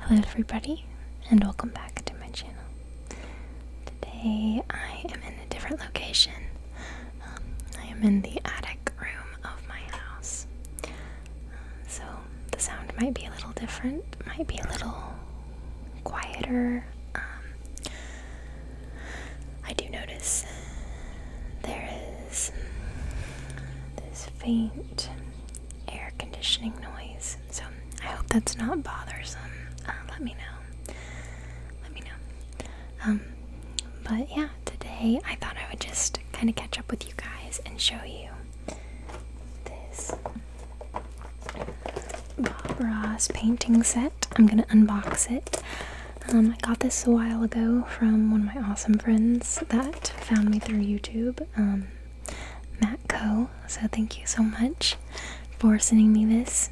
Hello everybody and welcome back to my channel. Today I am in a different location. Um, I am in the attic room of my house. Um, so the sound might be a little different, might be a little quieter. Um, I do notice there is this faint air conditioning noise. So I hope that's not bothersome. Uh, let me know. Let me know. Um, but yeah, today I thought I would just kind of catch up with you guys and show you this Bob Ross painting set. I'm gonna unbox it. Um, I got this a while ago from one of my awesome friends that found me through YouTube. Um, Matt Co. So thank you so much for sending me this.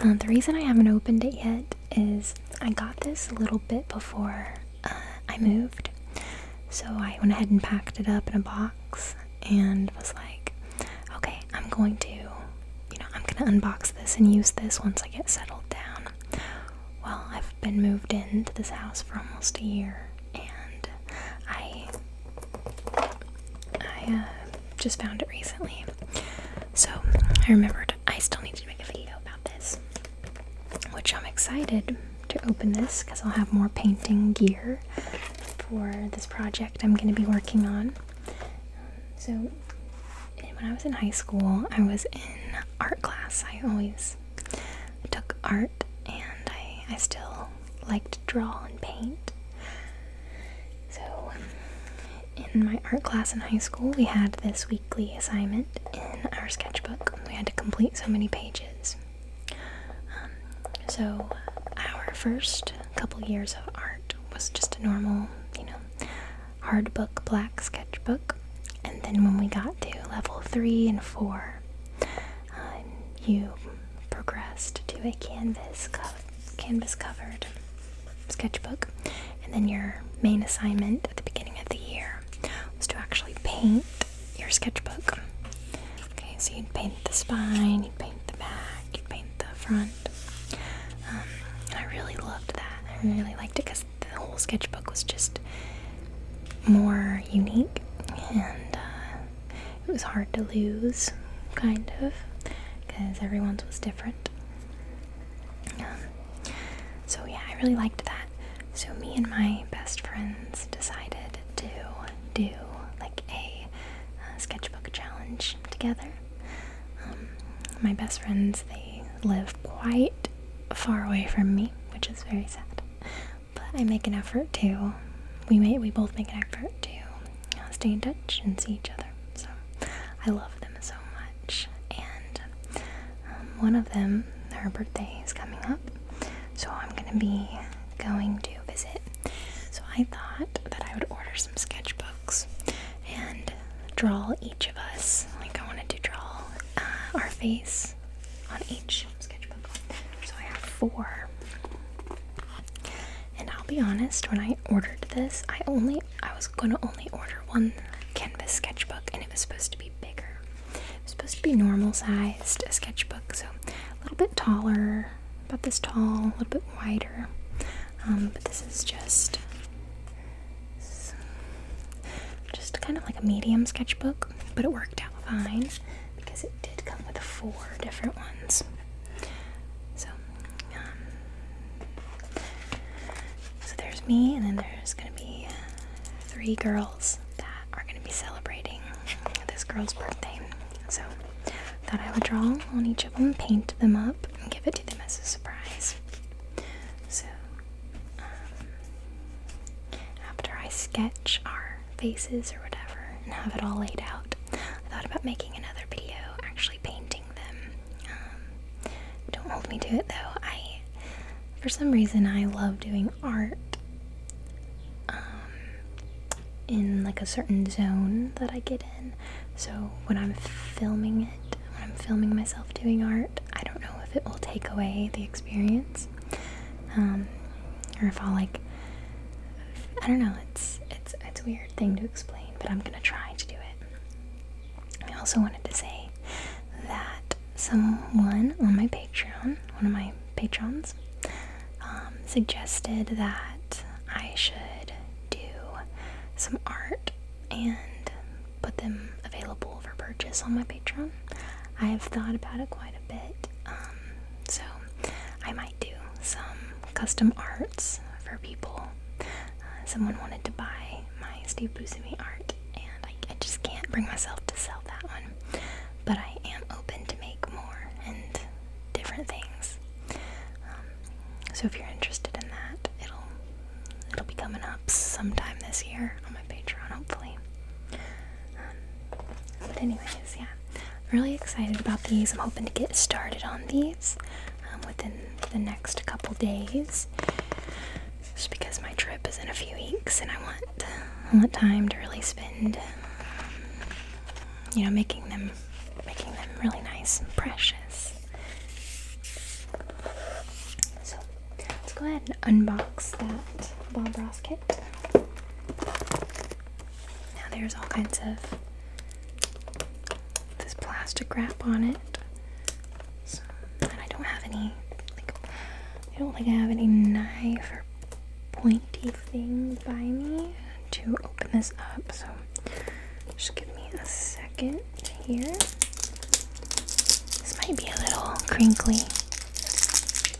Um, the reason I haven't opened it yet is I got this a little bit before uh, I moved, so I went ahead and packed it up in a box and was like, okay, I'm going to, you know, I'm gonna unbox this and use this once I get settled down well, I've been moved into this house for almost a year, and I I uh, just found it recently. So I remembered I still need to make a video about this, which I'm excited to open this because I'll have more painting gear for this project I'm going to be working on. So when I was in high school, I was in art class. I always I took art and I, I still like to draw and paint. So, um, in my art class in high school, we had this weekly assignment in our sketchbook. We had to complete so many pages. Um, so, our first couple years of art was just a normal, you know, hard book, black sketchbook. And then when we got to level three and four, um, you progressed to a canvas canvas covered sketchbook, and then your main assignment at the beginning of the year was to actually paint your sketchbook. Okay, so you'd paint the spine, you'd paint the back, you'd paint the front. Um, I really loved that. I really liked it because the whole sketchbook was just more unique and uh, it was hard to lose, kind of, because everyone's was different. Um, so, yeah, I really liked that. So, me and my best friends decided to do like a uh, sketchbook challenge together. Um, my best friends, they live quite far away from me, which is very sad but I make an effort to. We may, we both make an effort to stay in touch and see each other. So I love them so much, and um, one of them, her birthday is coming up, so I'm gonna be going to visit. So I thought that I would order some sketchbooks and draw each of us. Like I wanted to draw uh, our face on each sketchbook. So I have four. And I'll be honest, when I ordered this, I only I was gonna only order one canvas sketchbook and it was supposed to be bigger. supposed to be normal sized sketchbook, so a little bit taller, about this tall, a little bit wider. Um, but this is just just kind of like a medium sketchbook but it worked out fine because it did come with four different ones. So, um, so there's me, and then there's gonna be three girls that are gonna be celebrating this girl's birthday. So, thought I would draw on each of them, paint them up, and give it to them as a surprise. So, after I sketch our faces or whatever and have it all laid out, I thought about making another video actually painting them. Um, don't hold me to it though. I, for some reason, I love doing art um, in like a certain zone that I get in. So when I'm filming it, when I'm filming myself doing art, I don't know if it will take away the experience. Um, or if i like I don't know it's it's it's a weird thing to explain but I'm gonna try to do it I also wanted to say that someone on my patreon one of my patrons um, suggested that I should do some art and put them available for purchase on my patreon I have thought about it quite a bit. Um, so I might do some custom arts for people. Uh, someone wanted to buy my Steve Buscemi art, and I, just can't bring myself to sell that one. But I am open to make more and different things. Um, so if you're interested in that, it'll it'll be coming up sometime this year on my Patreon, hopefully but anyways, yeah, I'm really excited about these. I'm hoping to get started on these um, within the next couple days, just because my trip is in a few weeks, and I want want time to really spend, you know, making them making them really nice and precious. Let's go ahead and unbox that Bob Ross kit. Now there's all kinds of this plastic wrap on it. So, I don't have any, like, I don't think I have any knife or pointy thing by me to open this up. So just give me a second here. This might be a little crinkly.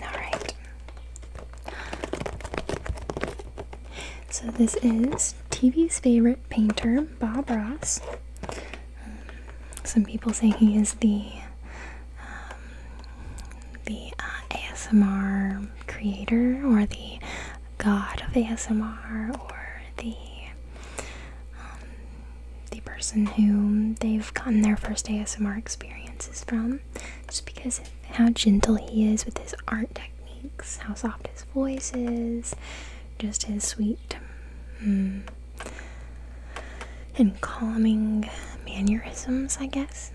Alright. So this is TV's favorite painter, Bob Ross. Um, some people say he is the um, the uh, ASMR creator, or the god of ASMR, or the um, the person whom they've gotten their first ASMR experiences from, just because of how gentle he is with his art techniques, how soft his voice is, just his sweet mm, and calming mannerisms, I guess.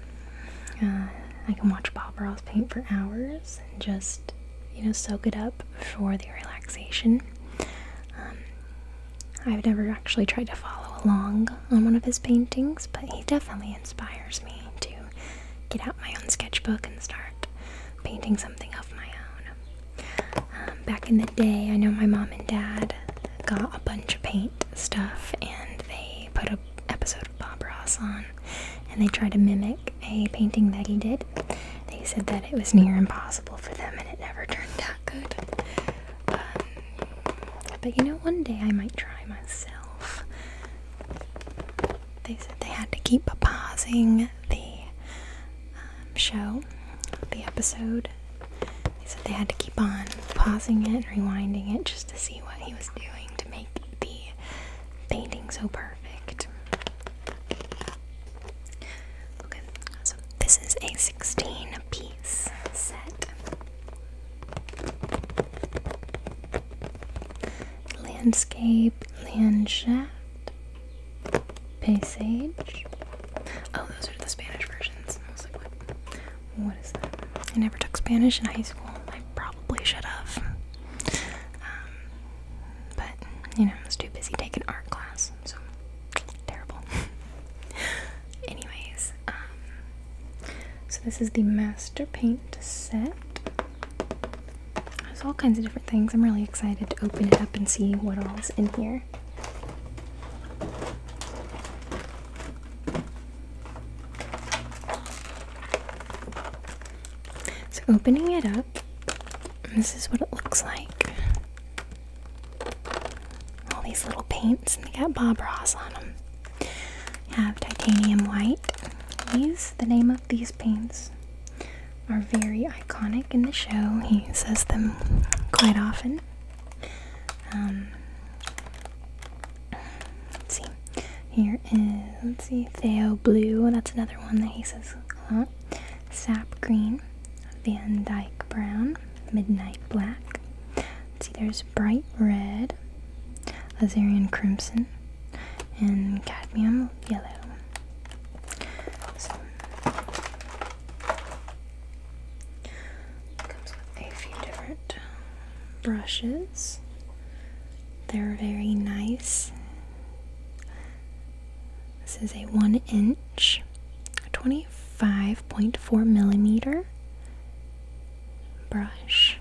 Uh, I can watch Bob Ross paint for hours and just, you know, soak it up for the relaxation. Um, I've never actually tried to follow along on one of his paintings, but he definitely inspires me to get out my own sketchbook and start painting something of my own. Um, back in the day, I know my mom and dad got a bunch of paint stuff and they put an episode of Bob Ross on and they tried to mimic a painting that he did. They said that it was near impossible for them and it never turned out good. Um, but you know, one day I might try myself. They said they had to keep pausing the um, show, the episode. They said they had to keep on pausing it, rewinding it, just to see what he was doing to make the painting so perfect. Okay, so this is a 16 piece piece set. Landscape, Landschaft, Paysage. Oh, those are the Spanish versions. I was like, What is that? I never took Spanish in high school. I probably should have. Um, but, you know, I was too busy taking art class, so terrible. Anyways, um, so this is the Master Paint set. There's all kinds of different things. I'm really excited to open it up and see what all is in here. So opening it up, this is what it looks like all these little paints, and they got Bob Ross on them. have titanium white. These, the name of these paints, are very iconic in the show. He says them quite often. Um, let's see. Here is, let's see, Theo Blue. That's another one that he says a lot. Sap Green. Van Dyke Brown, Midnight Black. see, there's Bright Red, Azarian Crimson, and Cadmium Yellow. So, comes with a few different brushes. They're very nice. This is a one inch. 25.4 millimeter brush.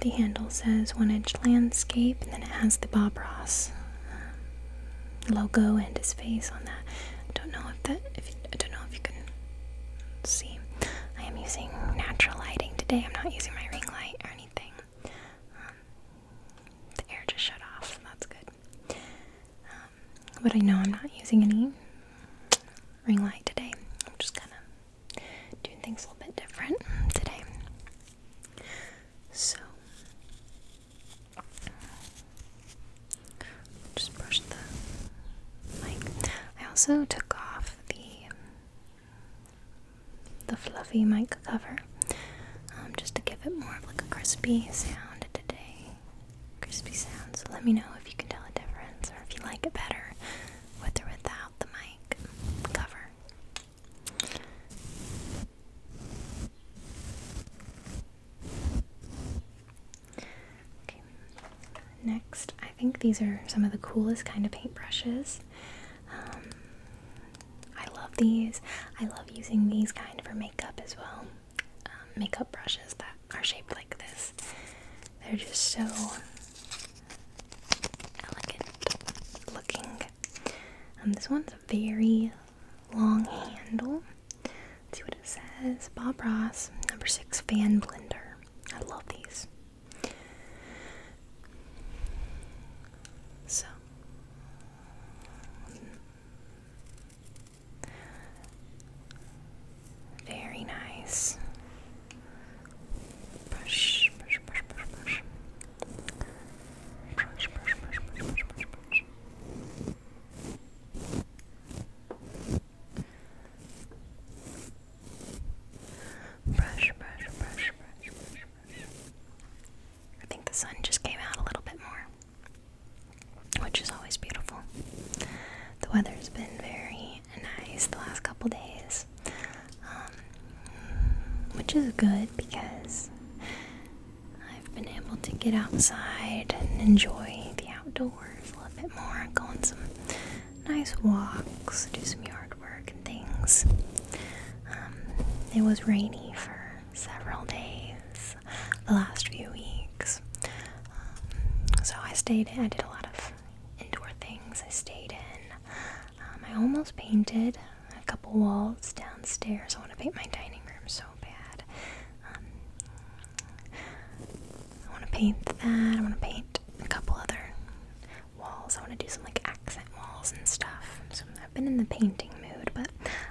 the handle says one inch landscape, and then it has the Bob Ross um, logo and his face on that. I don't know if that if I don't know if you can see. I am using natural lighting today. I'm not using my ring light or anything. Um, the air just shut off, that's good. Um, but I know I'm not using any ring light today. I'm just kind of doing things a little bit different today. So, just brush the mic. I also took off the the fluffy mic cover um, just to give it more of like a crispy sound today. Crispy sound. So let me know if you can tell a difference or if you like it better with or without the mic cover. Okay. Next, I think these are some of the coolest kind of paintbrushes. Um, I love these. I love using these kind for makeup as well. Um, makeup brushes that are shaped like this. They're just so elegant looking. Um, this one's a very long handle. see what it says. Bob Ross, number six fan blender. I love these. So very nice. Brush, brush, brush, brush, brush. Brush, brush, brush, brush, brush, brush, brush. Brush, brush, brush, brush, I think the sun just came out a little bit more, which is always beautiful. The weather's been very nice the last couple days, um, which is good because I've been able to get outside and enjoy the outdoors a little bit more, go on some nice walks, do some yard work and things. Um, it was rainy for several days the last few weeks. Um, so I stayed in, I did a lot of indoor things. I stayed in. Um, I almost painted a couple walls downstairs. I want to paint my dining room so bad. I want to paint that. I want to paint a couple other walls. I want to do some like accent walls and stuff. So I've been in the painting mood, but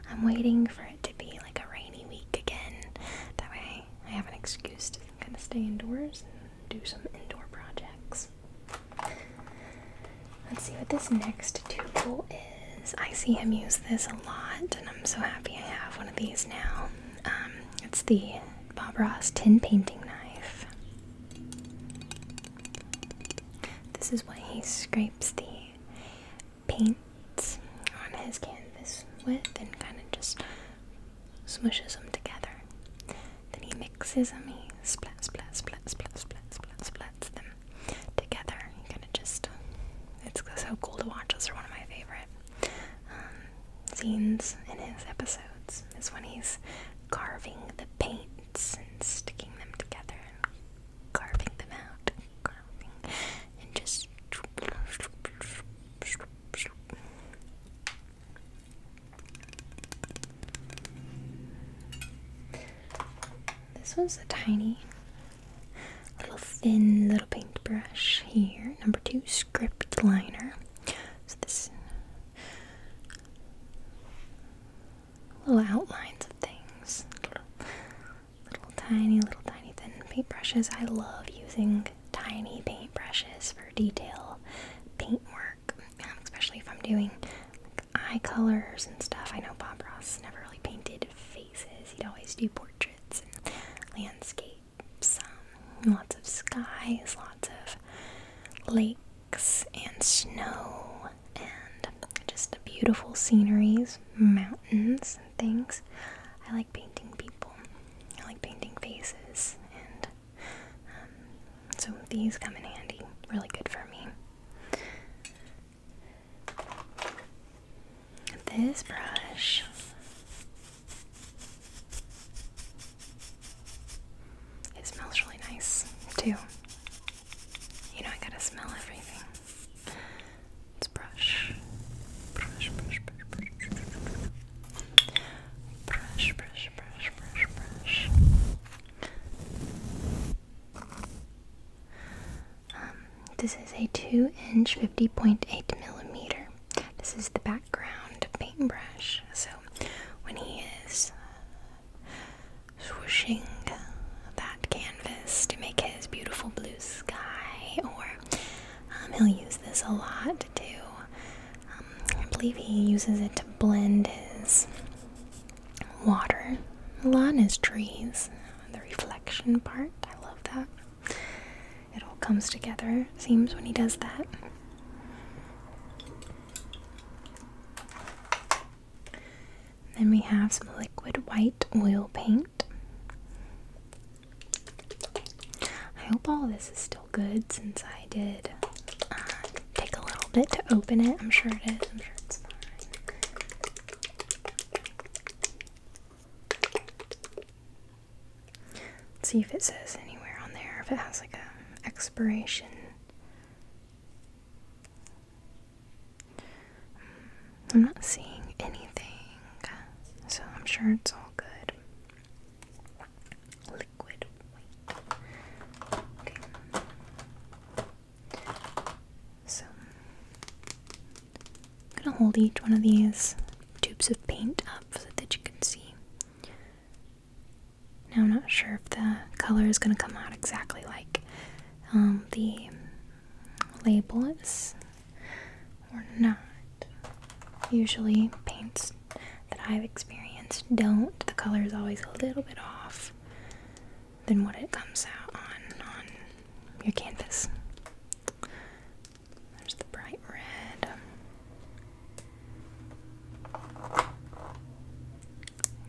I'm waiting for it to be like a rainy week again. That way I have an excuse to kind of stay indoors and do some indoor projects. Let's see what this next tool is. I see him use this a lot, and I'm so happy I have one of these now. Um, it's the Bob Ross tin painting knife. This is what he scrapes the paint on his canvas with and kind of just smooshes them together. Then he mixes them, he splat, splat, splat, splat, splat, splat, splats them together. You kind of just, it's so cool to watch. This is one of my favorite um, scenes in his episodes, is when he's carving the paints and sticking them together and carving them out, and just. This was a tiny little thin little paintbrush here. Number two, script liner. So this little outlines of things. Little, tiny, little tiny thin paintbrushes. I love using tiny paintbrushes for detail paintwork, um, especially if I'm doing like, eye colors and stuff. I know Bob Ross never really painted faces, he'd always do portraits and landscapes, um, lots of skies, lots of lakes and snow and just the beautiful sceneries, mountains and things. I like painting people. I like painting faces and um, so these come in handy. Really good for me. This brush it smells really nice, too. You know, I gotta smell everything. Let's brush. Brush, brush, brush, brush. Brush, brush, brush, brush, brush. Um, this is a 2 inch 50.8 millimeter. This is the background paintbrush. So when he is Swishing that canvas to make his beautiful blue sky, or um, he'll use this a lot too. Um, I believe he uses it to blend his water a his trees, the reflection part. I love that. It all comes together, seems, when he does that. Then we have some liquid white oil paint. I hope all this is still good since I did uh, take a little bit to open it. I'm sure it is. I'm sure it's fine. Let's see if it says anywhere on there if it has like a expiration Mm, I'm not seeing anything, so I'm sure it's all good. Liquid Okay. So, I'm gonna hold each one of these tubes of paint up so that you can see now I'm not sure if the color is going to come out exactly like um, the label is or not. Usually paints that I've experienced don't. The color is always a little bit off than what it comes out on on your canvas. There's the bright red.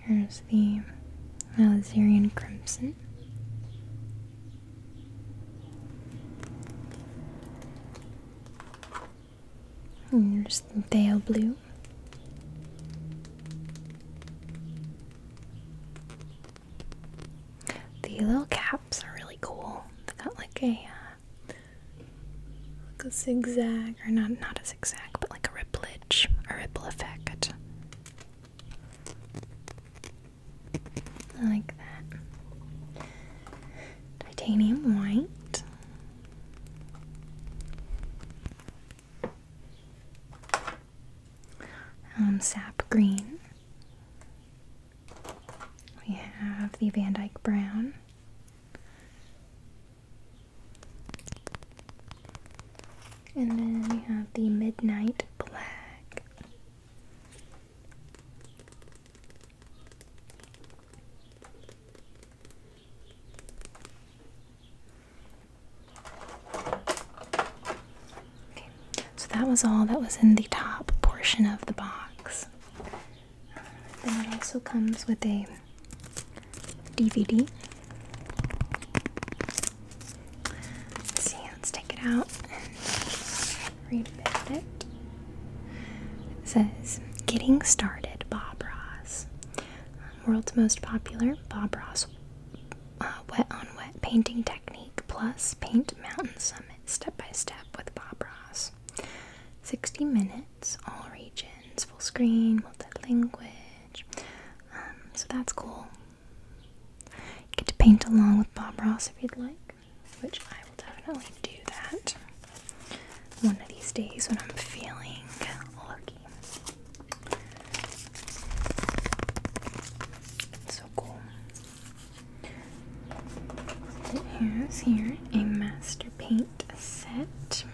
Here's the Alizerian Crimson. Here's the Thale Blue. The little caps are really cool. They have got like a uh, like a zigzag, or not not a zigzag, but like a ripplage, a ripple effect. I like that. Titanium white. Um, sap green. We have the Van Dyke brown. And then we have the Midnight Black. Okay, so that was all that was in the top portion of the box. Then it also comes with a DVD. Let's see, let's take it out and read a bit it. says Getting Started Bob Ross. World's most popular Bob Ross uh, wet on wet painting technique plus paint mountain summit step by step with Bob Ross. 60 minutes." all regions, full screen, multi-language. Um, so that's cool. get to paint along with Bob Ross if you'd like, which I will definitely do that one of these days when I'm feeling lucky. So cool. It here a master paint set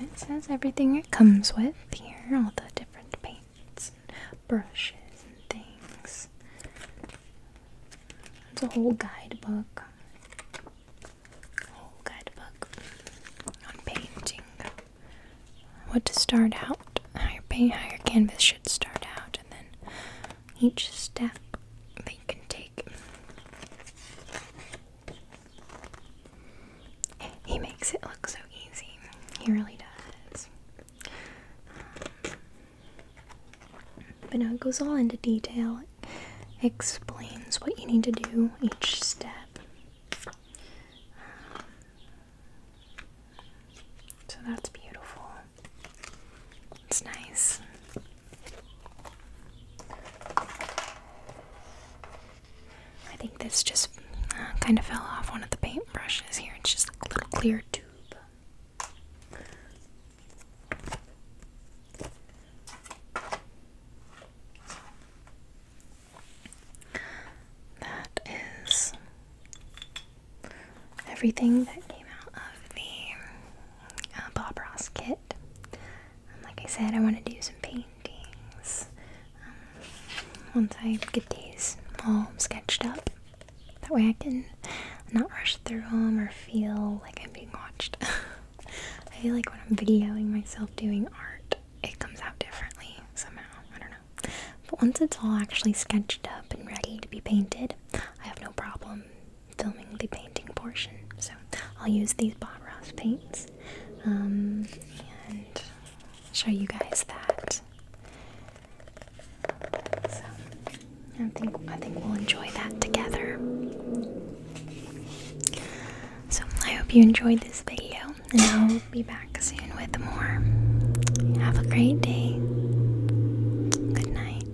it says everything it comes with here, all the different paints and brushes and things. It's a whole guidebook. A whole guidebook on painting. What to start out, how your canvas should start out, and then each step they can take he makes it look so easy. He really does. Um, but now it goes all into detail. explains what you need to do each step. Um, so that's beautiful. It's nice. I think this just uh, kind of fell off one of the paintbrushes here. It's just a little clear tube. That is everything that came out of the uh, Bob Ross kit like I said, I want to do some paintings um, once I get these all sketched up. That way I can not rush through them or feel like I'm being watched. I feel like when I'm videoing myself doing art, it comes out differently somehow. I don't know. But once it's all actually sketched up and ready to be painted, I have no problem filming the painting portion. So I'll use these Bob Ross paints um, and show you guys that. So I think I think we'll enjoy that together. So I hope you enjoyed this video, and I'll be back soon with more. Have a great day. Good night.